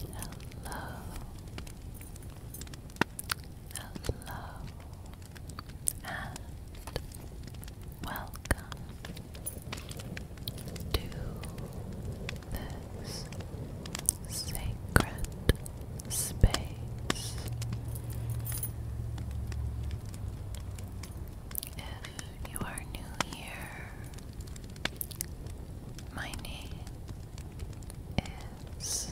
Hello. Hello. And welcome to this Sacred Space. If you are new here, my name is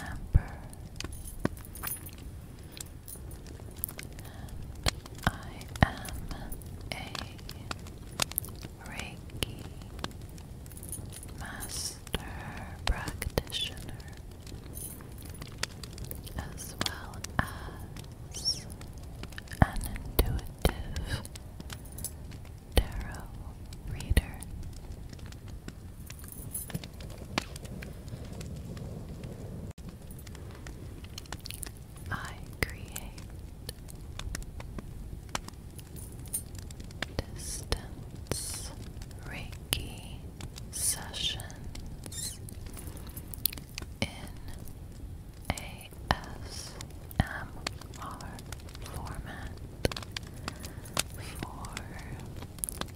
Amber. And I am a Reiki Master Practitioner, as well as an intuitive tarot reader. I create distance Reiki sessions in ASMR format for you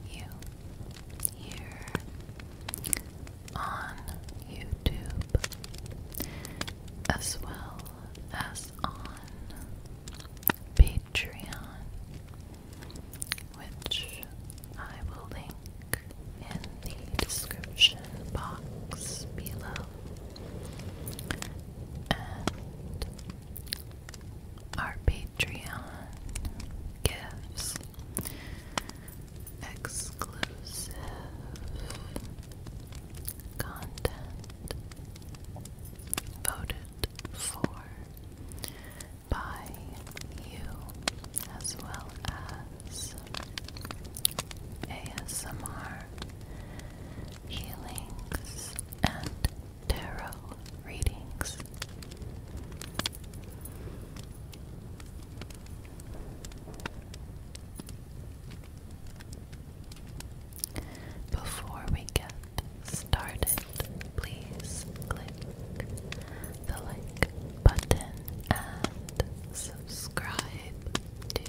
here on YouTube as well as on Patreon, which I will link in the description box below. And our Patreon gives exclusive content voted for by you as well as ASMR healings and tarot readings. Before we get started, please click the like button and subscribe to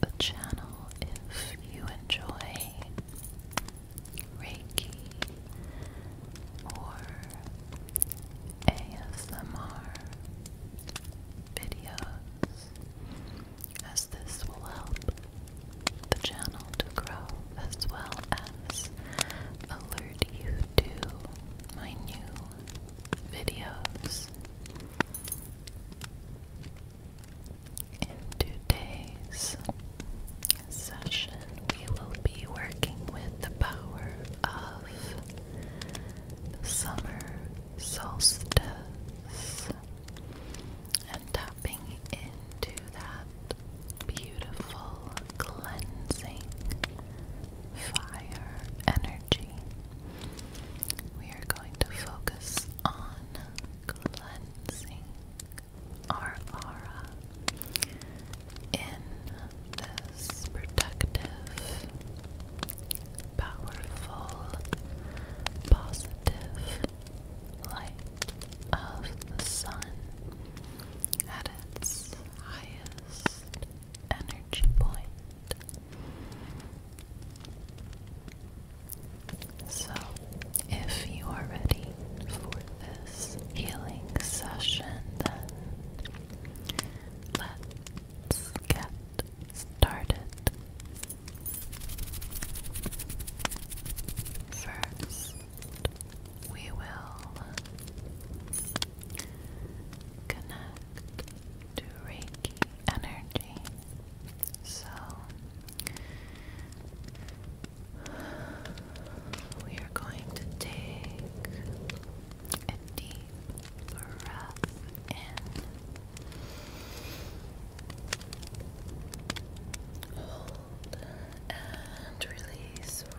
the channel if you enjoy Reiki or ASMR videos as this will help the channel to grow as well as alert you to my new videos. In today's session, we will be working with the power of the summer solstice and tapping into that beautiful cleansing fire energy. We are going to focus on cleansing our aura in this productive powerful, positive light of the sun at its highest energy point. So, if you are ready for this healing session, then let's get started. First, we will connect to Reiki energy. So, we are going to take a deep breath in. Hold and release. Good.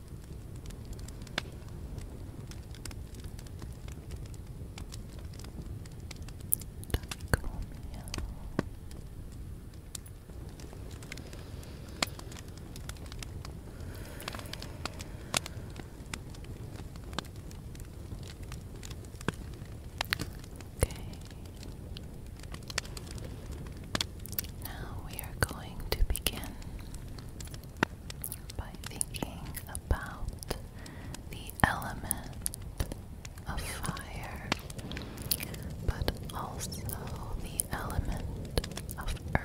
Okay. Now we are going to begin by thinking about the element of fire, but also the element of earth.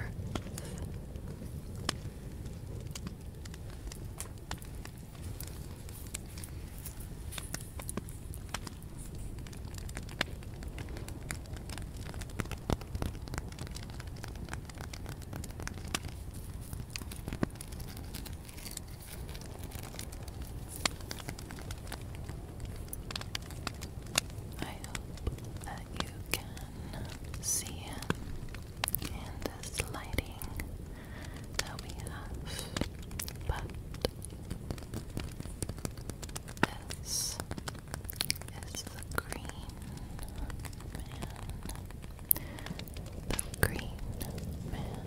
I hope that you can see him in this lighting that we have, but this is the green man. The green man.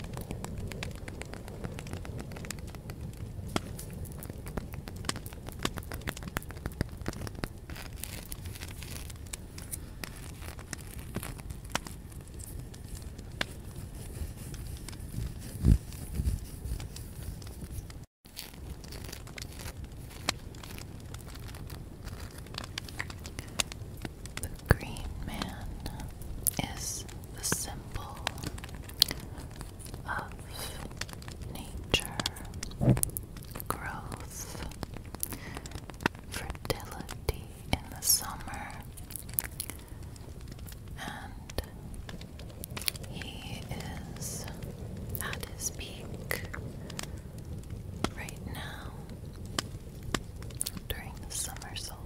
The green man is the symbol of nature, growth, fertility in the summer, and he is at his peak right now during the summer solstice.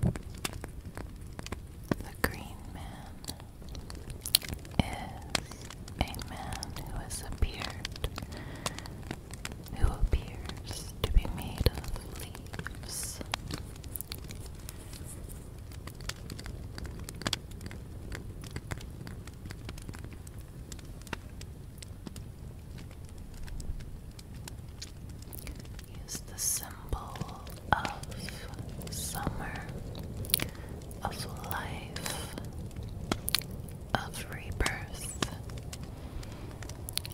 The Green Man is a man who has appeared, who appears to be made of leaves is the symbol of summer, of life, of rebirth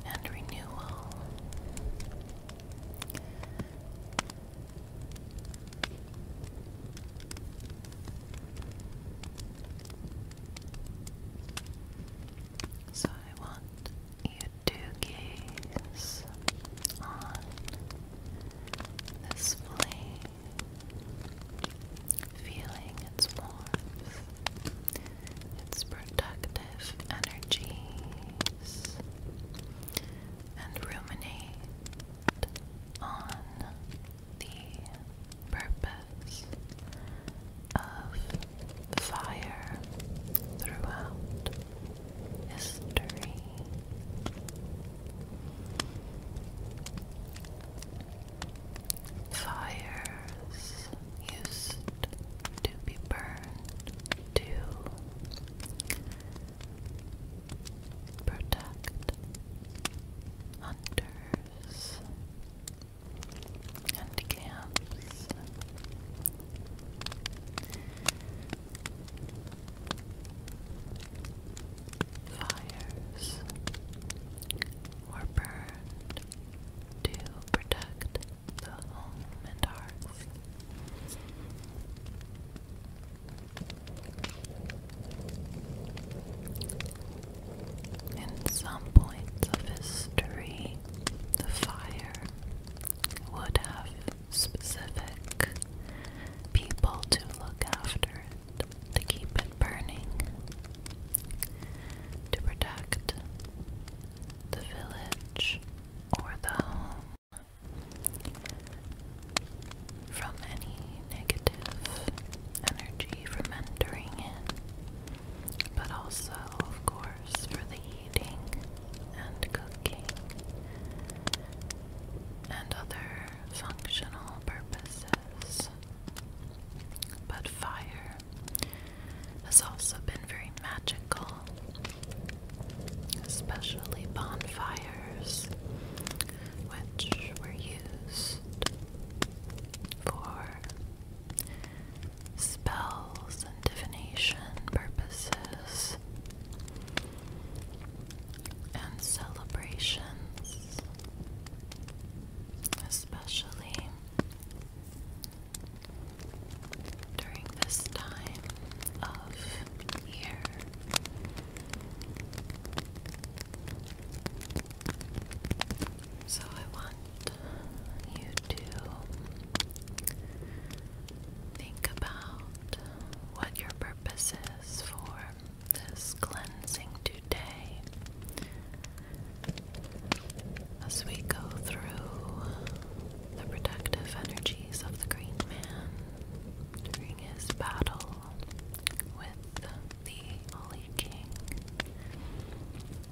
and renewal. So I want you to gaze on this flame, feeling its warmth, its productive energies, and ruminate on the purpose of fire throughout history. Fires used to be burned to protect hunters and camps. Fires were burned to protect the home and hearth. In some points of history, the fire would have specific people to look after it, to keep it burning, to protect the village or the home from any negative energy from entering in but also, of course, for the eating and cooking and other functional purposes. But fire has also been very magical, especially bonfires, which were used for spells and divination purposes and celebrations, especially during this time of year. So I want you to think about what your purpose is for this cleansing today as we go through the protective energies of the Green Man during his battle with the Holy King.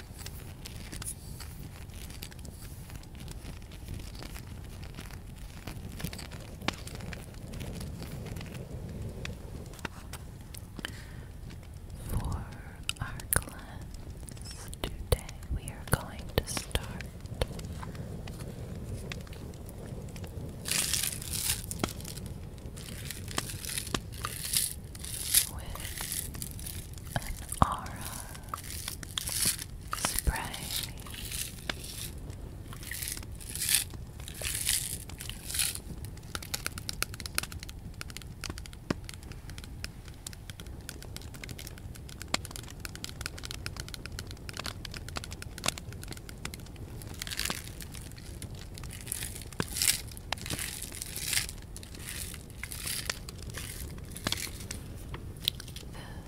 For our class today, we are going to start with an aura spray.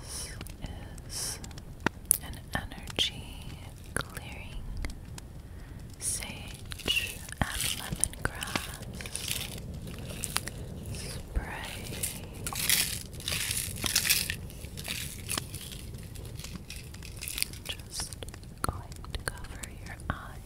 This is an energy clearing sage and lemongrass spray. Just going to cover your eyes.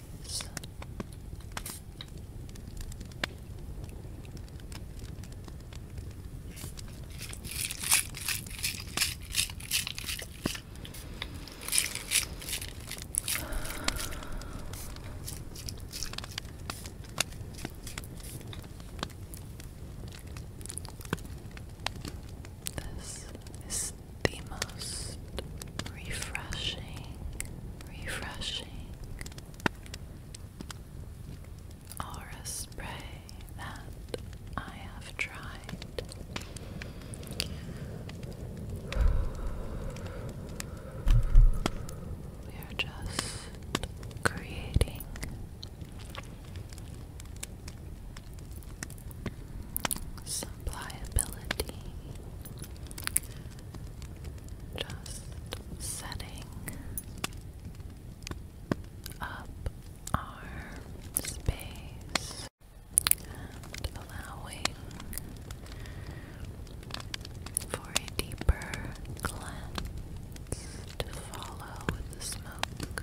This is the most refreshing refreshing aura spray that I have tried. We are just creating some pliability just setting up our space allowing for a deeper glance to follow with the smoke.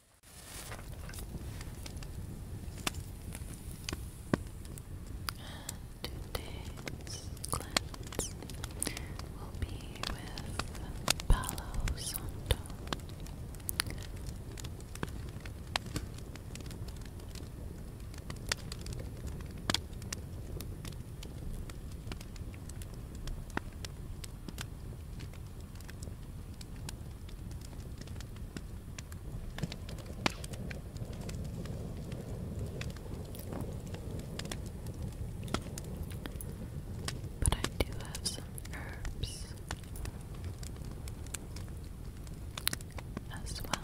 And today's cleanse will be with Palo Santo. But I do have some herbs as well.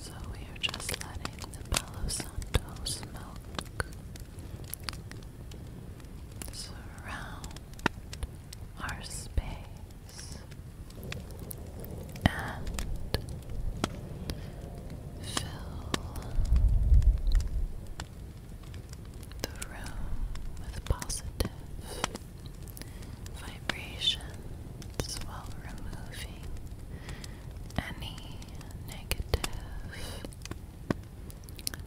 So we are just letting the Palo Santo smoke surround our space and fill the room with positive vibrations while removing any negative feelings and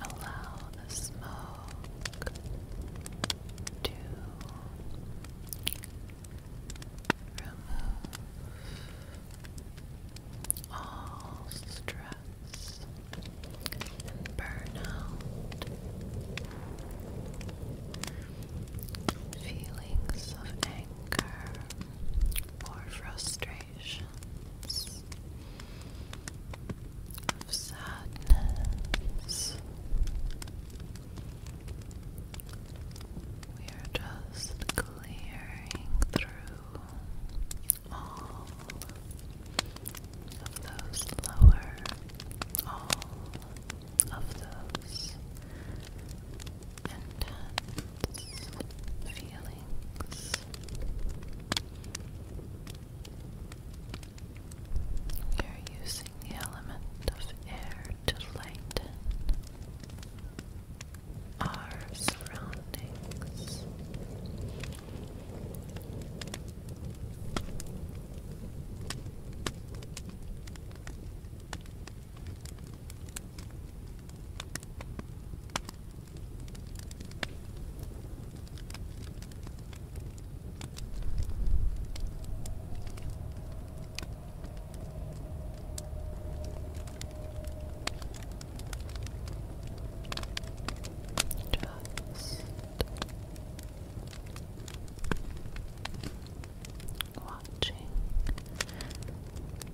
Allow the smoke to remove all stress and burnout. Feelings of anger or frustrations of sadness. We are just clearing through all of those lower, all of those intense thoughts, feelings. We are using the element of air to lighten our surroundings.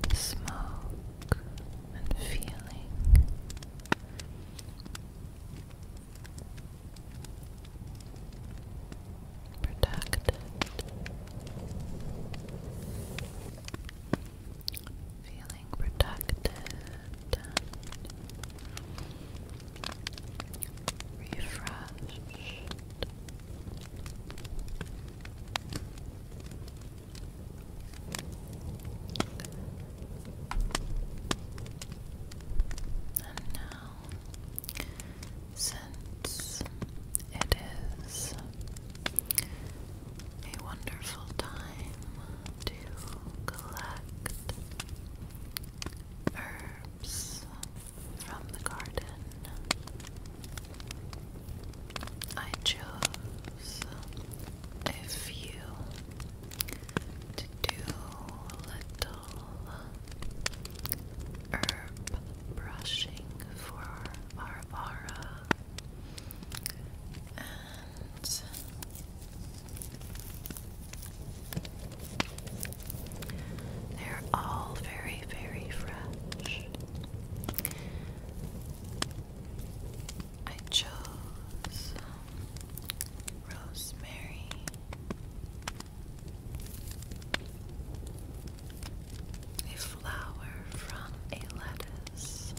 Just watching smoke and feeling. Protected, feeling protected and refreshed. And now, since it is a wonderful time to collect herbs from the garden, I chose if you do little herb brushing for Barbara, and they're all very, very fresh. I chose rosemary. A flower from a lettuce.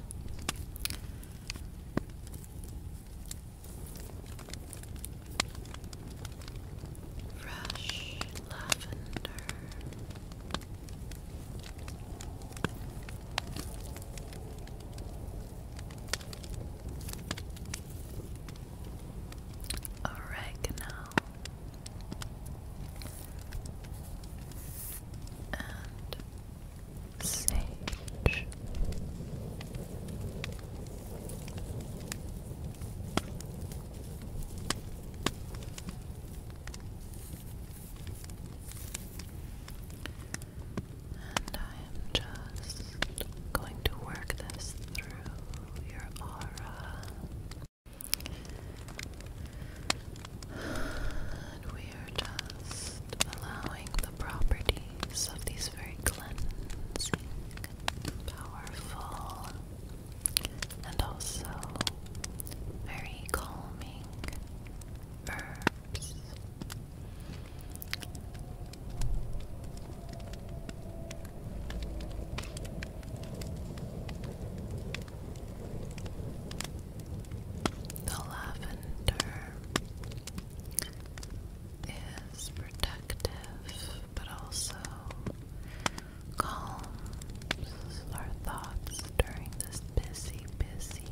Fresh lavender oregano and sage. And I am just going to work this through your aura. And we are just allowing the properties of these very cleansing, powerful, and also very calming er, Oops. The lavender is protective but also calms our thoughts during this busy, busy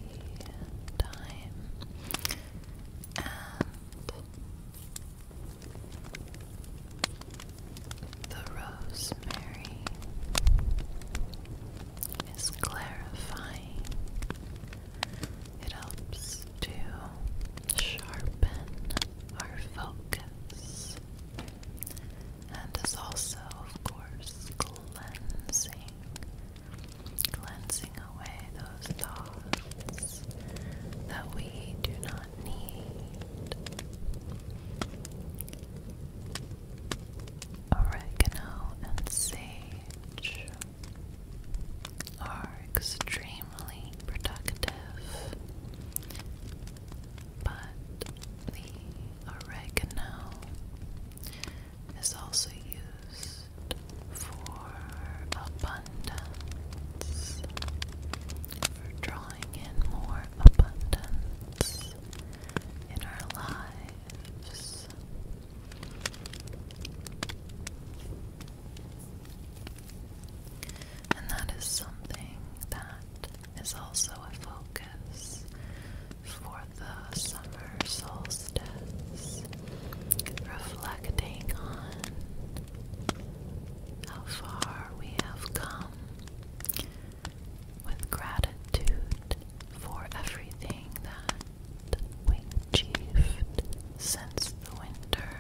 time and the rosemary is clarifying. It helps to sharpen our focus and is also, of course, cleansing cleansing away those thoughts that we do not need. Oregano and sage are extremely productive, but the oregano is also used for abundance, for drawing in more abundance in our lives. And that is something that is also a focus for the summer solstice, reflecting on how far we have come with gratitude for everything that we achieved since the winter.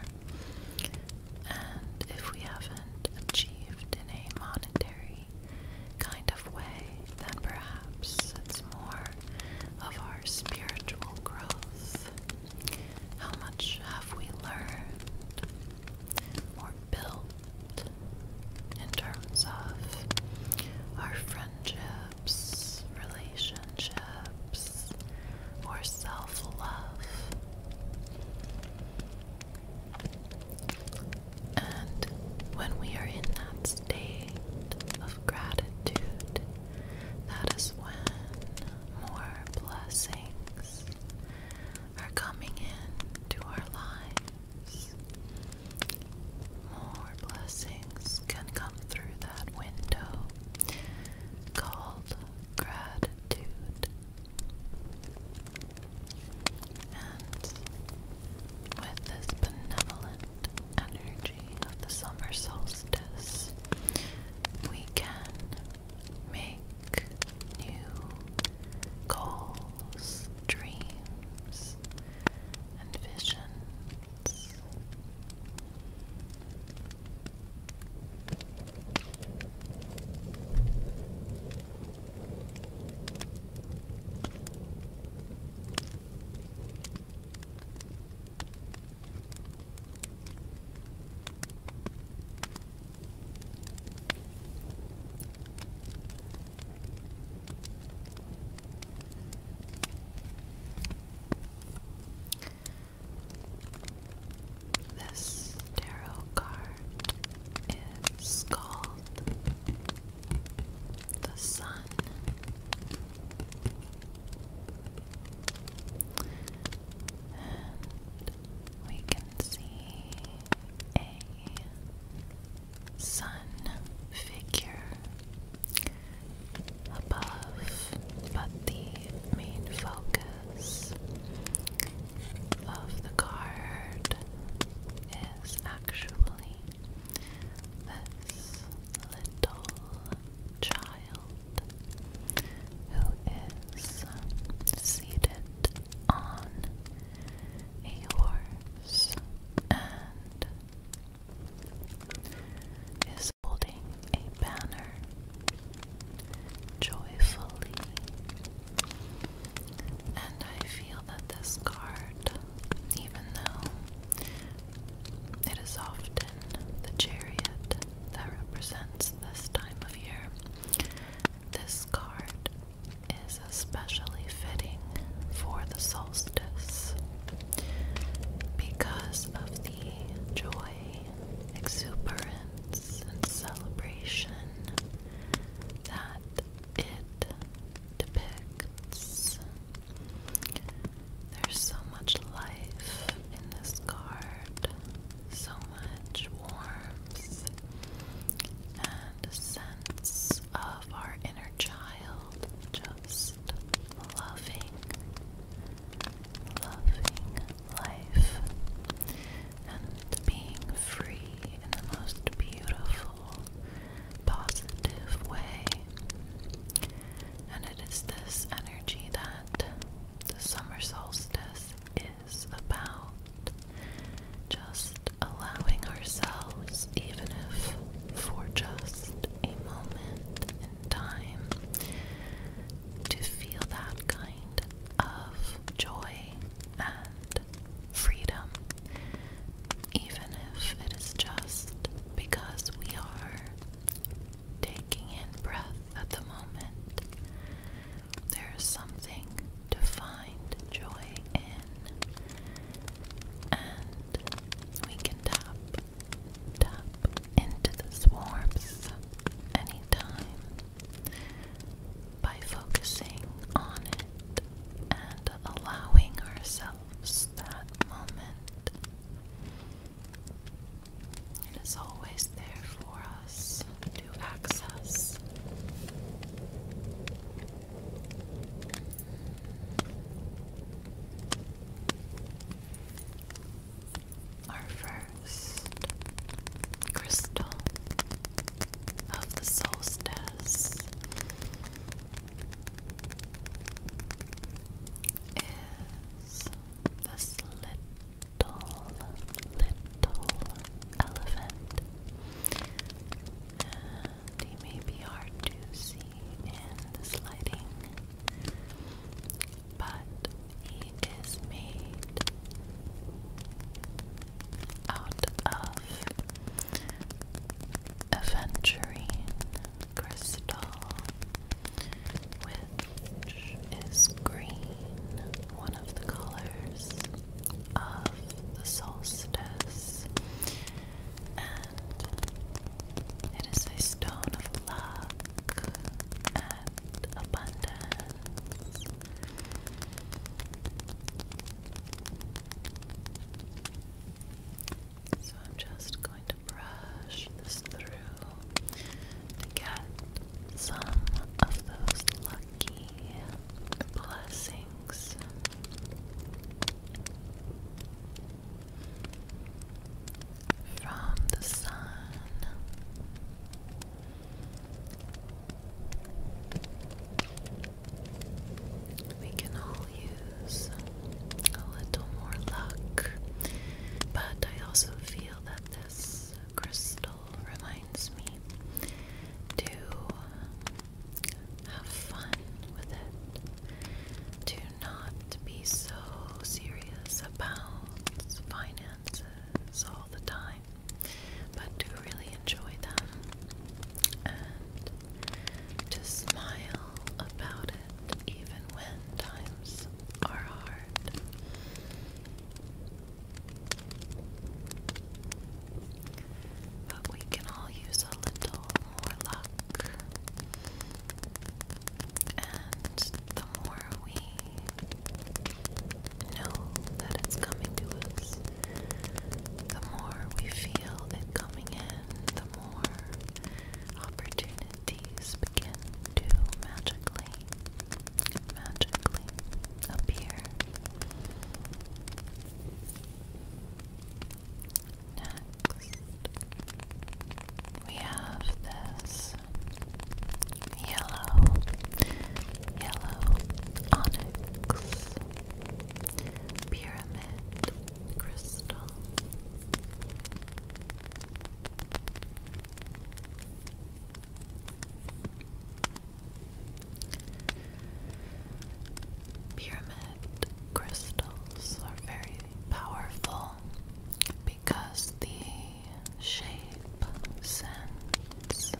And if we haven't achieved in a monetary kind of way, then perhaps it's more of our spiritual growth. How much have we learned or built in terms of our friendships, relationships, or self love? And when we are in that state of gratitude, that is when more blessings are coming in to our lives. More blessings can come through that window called gratitude. And with this benevolent energy of the summer solstice, we can make new goals, dreams, and visions. This tarot card is called the sun. And we can see a sun figure above, but the main focus of the card is actually this little child who is seated on a horse and is holding a banner joyfully, and I feel that this card, even though it is often the chariot that represents this time of year, this card is especially fitting for the solstice because of the joy, exuberance, and celebration that it depicts there's so much life in this card, so much warmth and a sense of our inner child just loving, loving life and being free in the most beautiful positive way. And it is this energy that the summer solstice is about. Just allowing ourselves, even if for just a moment in time, to feel that kind of joy and freedom even if it is just because we are taking in breath at the moment. There is something to find joy in, and we can tap, tap into this warmth anytime by focusing on it and allowing ourselves that moment. It is always there for us to access. Our first crystal of the solstice is this little, little elephant. he may be hard to see in this lighting, but he is made out of aventurine crystal, which is green, one of the colors of the solstice, and it is a stone of luck and abundance. So I'm just going to brush this through to get some of those lucky blessings. From the sun, we can all use a little more luck, but I also feel that this crystal reminds me to have fun with it, to not be so serious about finances all the time, but to really enjoy them to smile about it even when times are hard. But we can all use a little more luck, and the more we know that it's coming to us, the more we feel it coming in, more opportunities begin to magically, magically appear. Next, we have this yellow, yellow onyx pyramid crystal. Pyramid crystals are very powerful because the shape sends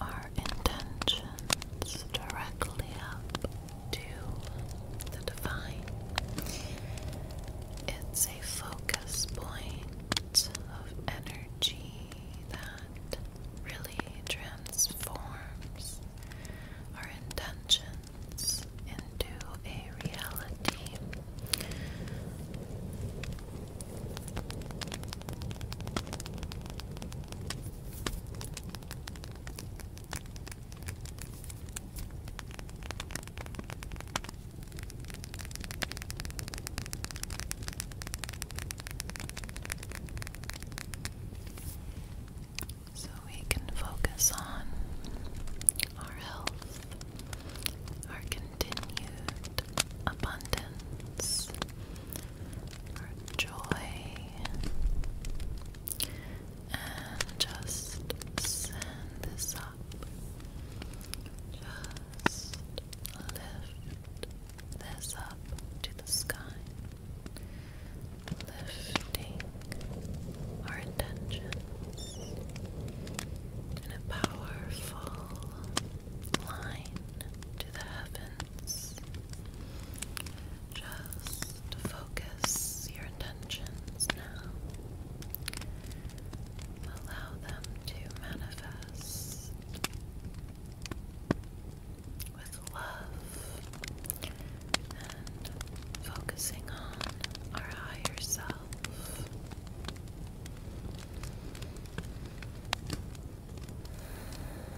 our intentions directly up to the divine. It's a focus point of energy that really transforms our intentions into a reality. So we can focus on our health, our continued abundance, our joy, and just send this up. Just lift this up to the sky, lifting our intentions in a powerful line to the heavens. Just focus your intentions now. Allow them to manifest with love and focusing on our higher self.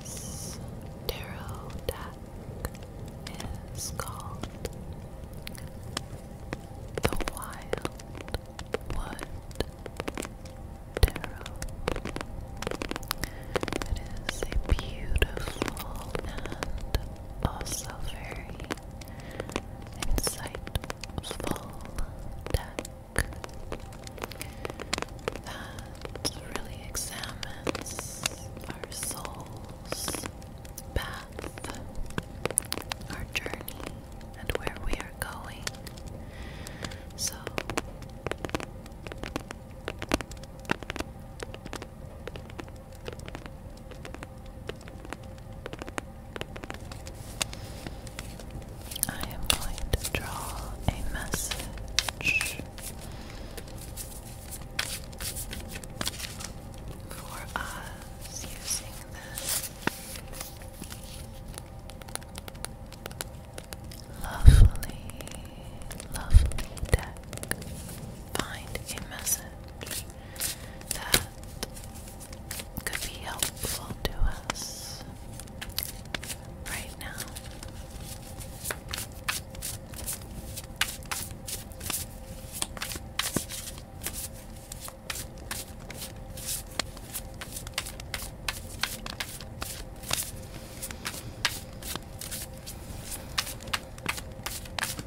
This tarot deck is called the Wild Wood Tarot. It is a beautiful and also very insightful deck that really examines our soul's path, our journey, and where we are going. So I am going to draw a message for us using this lovely, lovely deck. Find a message that could be helpful to us right now.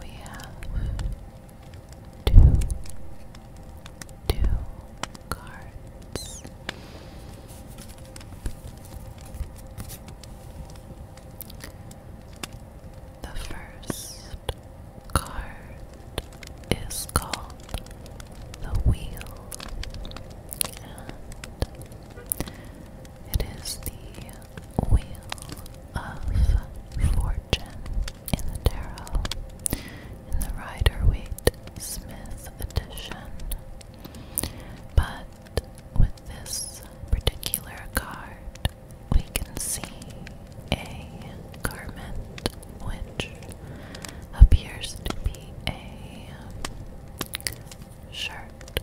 We have two, two cards. The first card is called the Wheel, and it is the Wheel of Fortune in the Tarot in the Rider Waite Smith edition. But with this particular card, we can see a garment which appears to be a um, shirt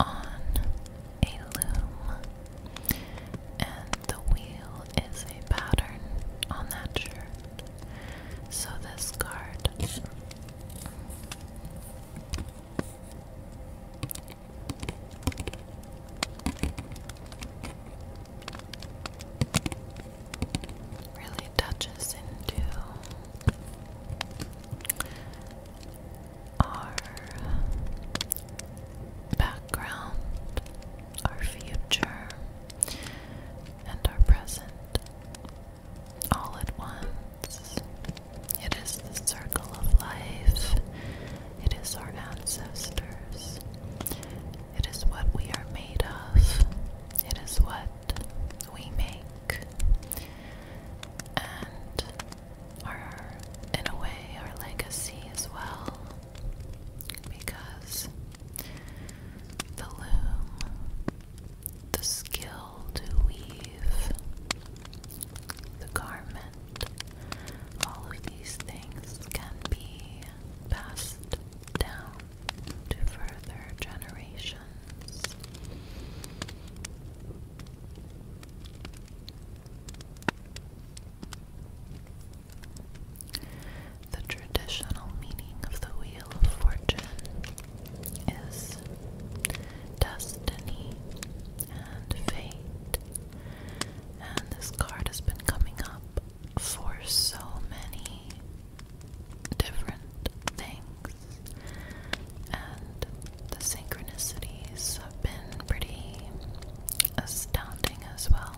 on a loom, and the wheel is a pattern on that shirt. So this card really touches into our background, our future, and our present all at once. It is the circle of life it is our ancestors. It is what we are made of. It is what we make. And our, in a way, our legacy as well. Because the loom, the skill to weave, the garment, all of these things can be passed down to further generations. The traditional meaning of the Wheel of Fortune is destiny and fate and this card has been coming up for so many different things, and the synchronicities have been pretty astounding as well.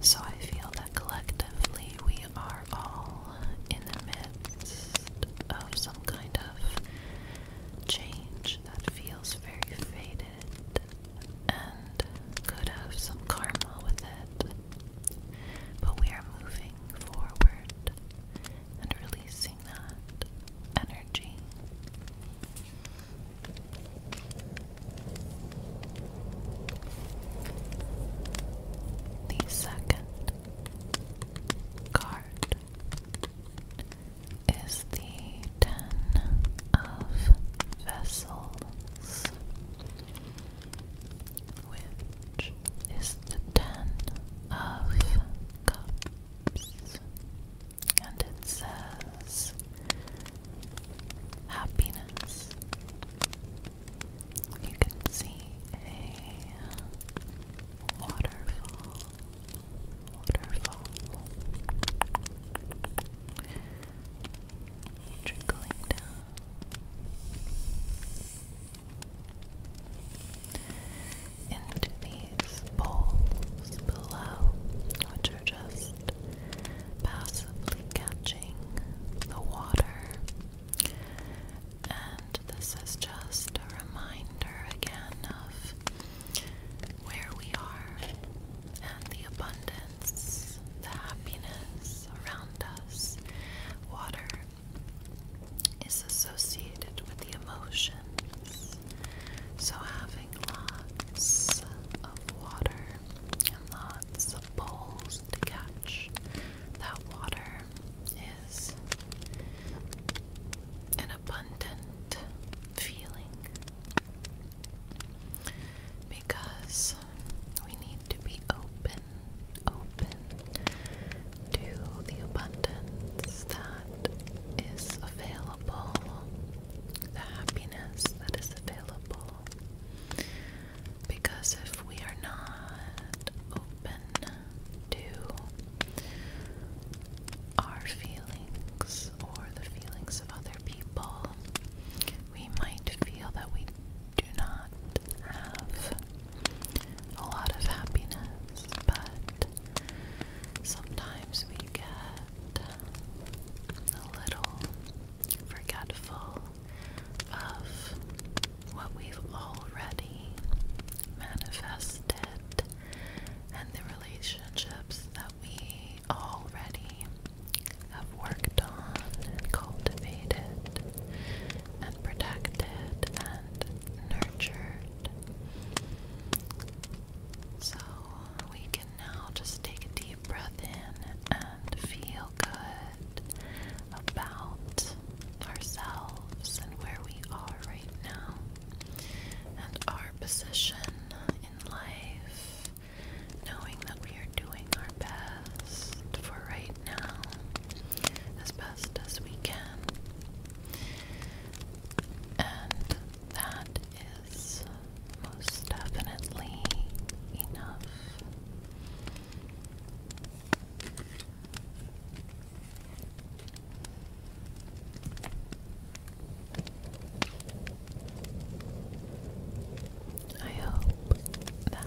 So I feel that collectively we are all in the midst of some kind of change that feels very faded and could have some karma with it. But we are moving forward and releasing that energy. The second card is the Ten of Vessels, which is the Ten of Cups, and it says happiness. You can see a waterfall waterfall trickling down. Into these bowls below, which are just passively catching the water. And this is just a reminder again of where we are and the abundance, the happiness around us. Water is associated with the emotions, so having lots of water and lots of bowls to catch that water is abundant feeling because we need to be open, open to the abundance that is available, the happiness that is available. Because if we are not open to our feelings or the feelings of other people, we might feel that we do not have a lot of happiness, but sometimes we get a little forgetful of what we've already manifested and the relationships that we we already have worked on cultivated and protected and nurtured. So we can now just take a deep breath in and feel good about ourselves and where we are right now and our position in life, knowing that we are doing our best for right now, as best as we can. And that is most definitely enough. I hope that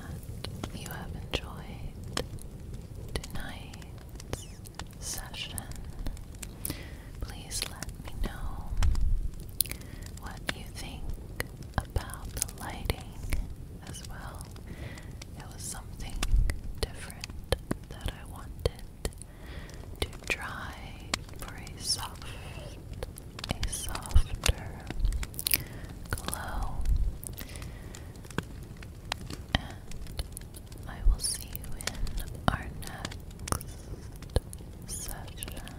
you have enjoyed tonight's session. Please let me know what you think about the lighting as well. It was something different that I wanted to try for a soft, a softer glow. And I will see you in our next session.